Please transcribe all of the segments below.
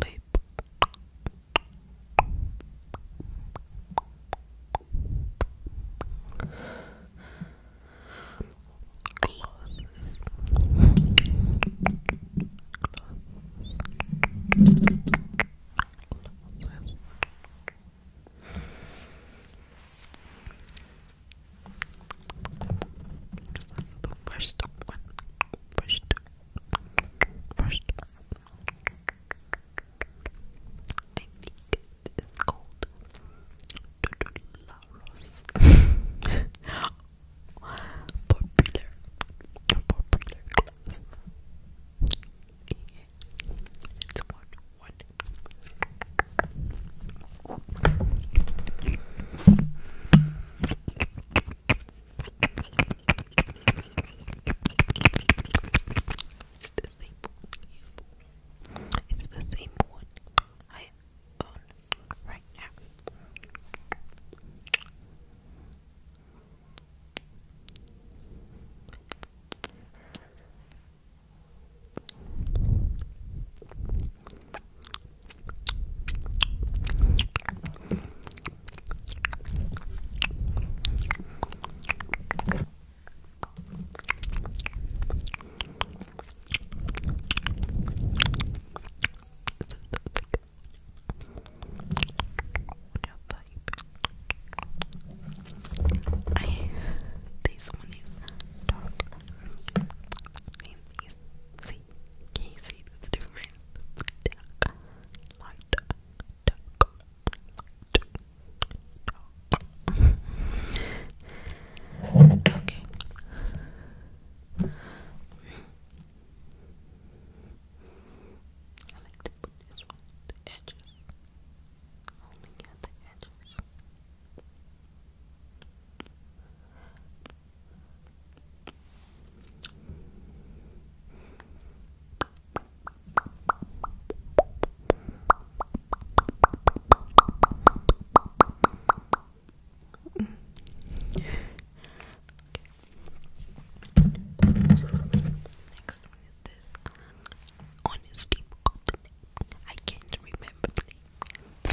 lip glosses glosses that's the first one. First First, it's called popular, popular class. It's one, one. It's the same one. It's the same one I own right now. I these one is dark. These see? Can you see the difference? Dark, light, dark, light, dark. okay. I like to put this one, the edges. Only at the edges. Next one is this Honestly, I can't remember the name.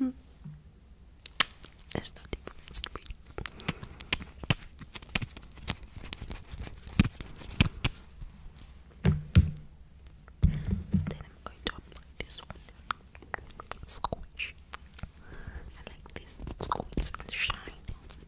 Mm. not no Then I'm going to apply this one. Squash. I like this. Squeeze and shine.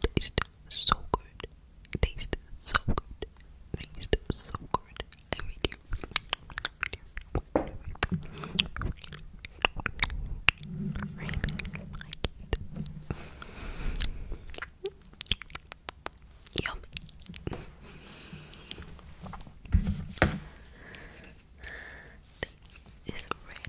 Taste so good. Taste so good. Taste so good. Every day. Raining. Yummy thing is red.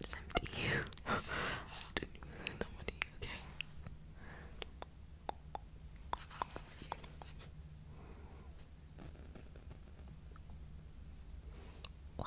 It's empty. I don't even know what okay? Wow.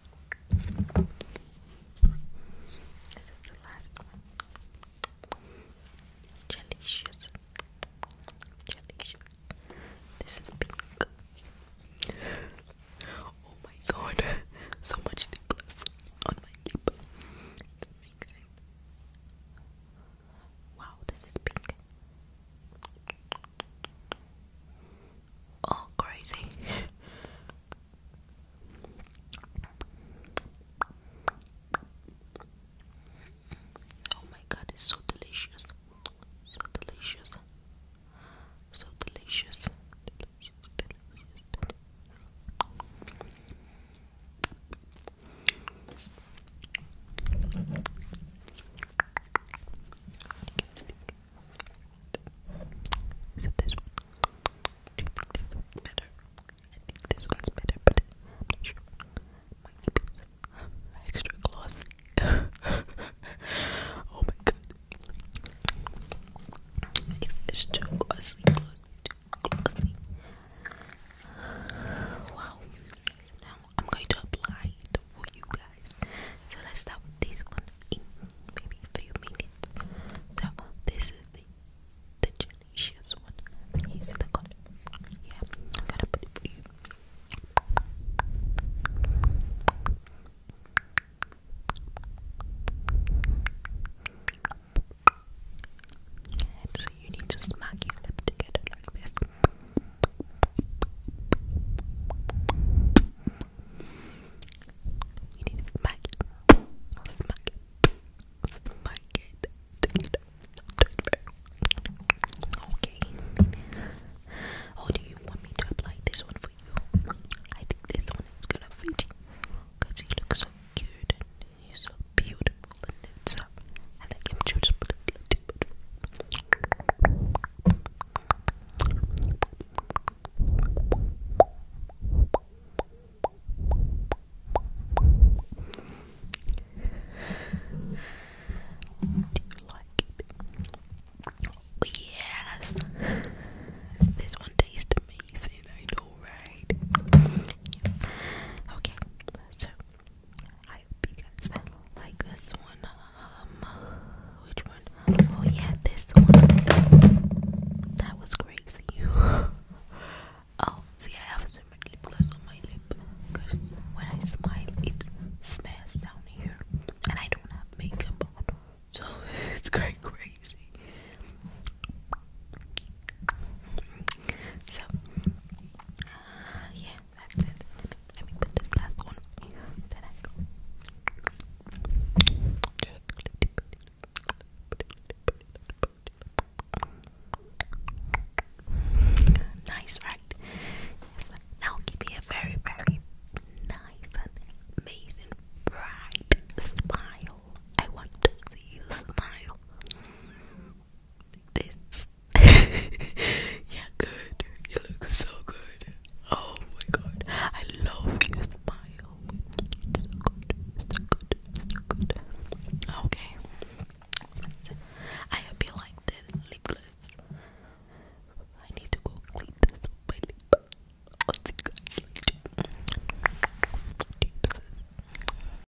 This is the last one. Delicious. Delicious. This is pink. Oh my god. So much lip on my lip. Wow, this is pink all oh, crazy. oh my god, it's so delicious. So delicious. So delicious. Delicious, delicious, delicious. So this one's better? I think this one's better, but I'm not sure. My lip is extra glossy. oh my god. It's, too glossy. Too glossy. Wow. I'm going to apply it for you guys. So let's start with this one maybe a minutes. So this is the delicious one. Here's the color. Yeah, I'm gonna put it for you. so you need to smack your lip together like this. You need to smack it. Smack it. Smack it. Okay. Oh, do you want me to apply this one for you? I think this one is gonna fit you. Because you look so cute and you're so beautiful and it's uh, I like him just like it? yes! This one tastes amazing, I know, right? Okay, so I hope you guys like this one. Um, which one? Oh yeah, this one. That was crazy. oh, see, I have so much lip on my lip because when I smile, it smells down here, and I don't have makeup on, so it's quite crazy. So, uh, yeah, that's Nice, right? Now give me a very, very nice and amazing, bright smile. I want to see you smile this. yeah, good. You look so good. Oh my god. I love your smile. so good. so good. so good. Okay. I hope you like the lip gloss. I need to go clean this with my lip. I'll see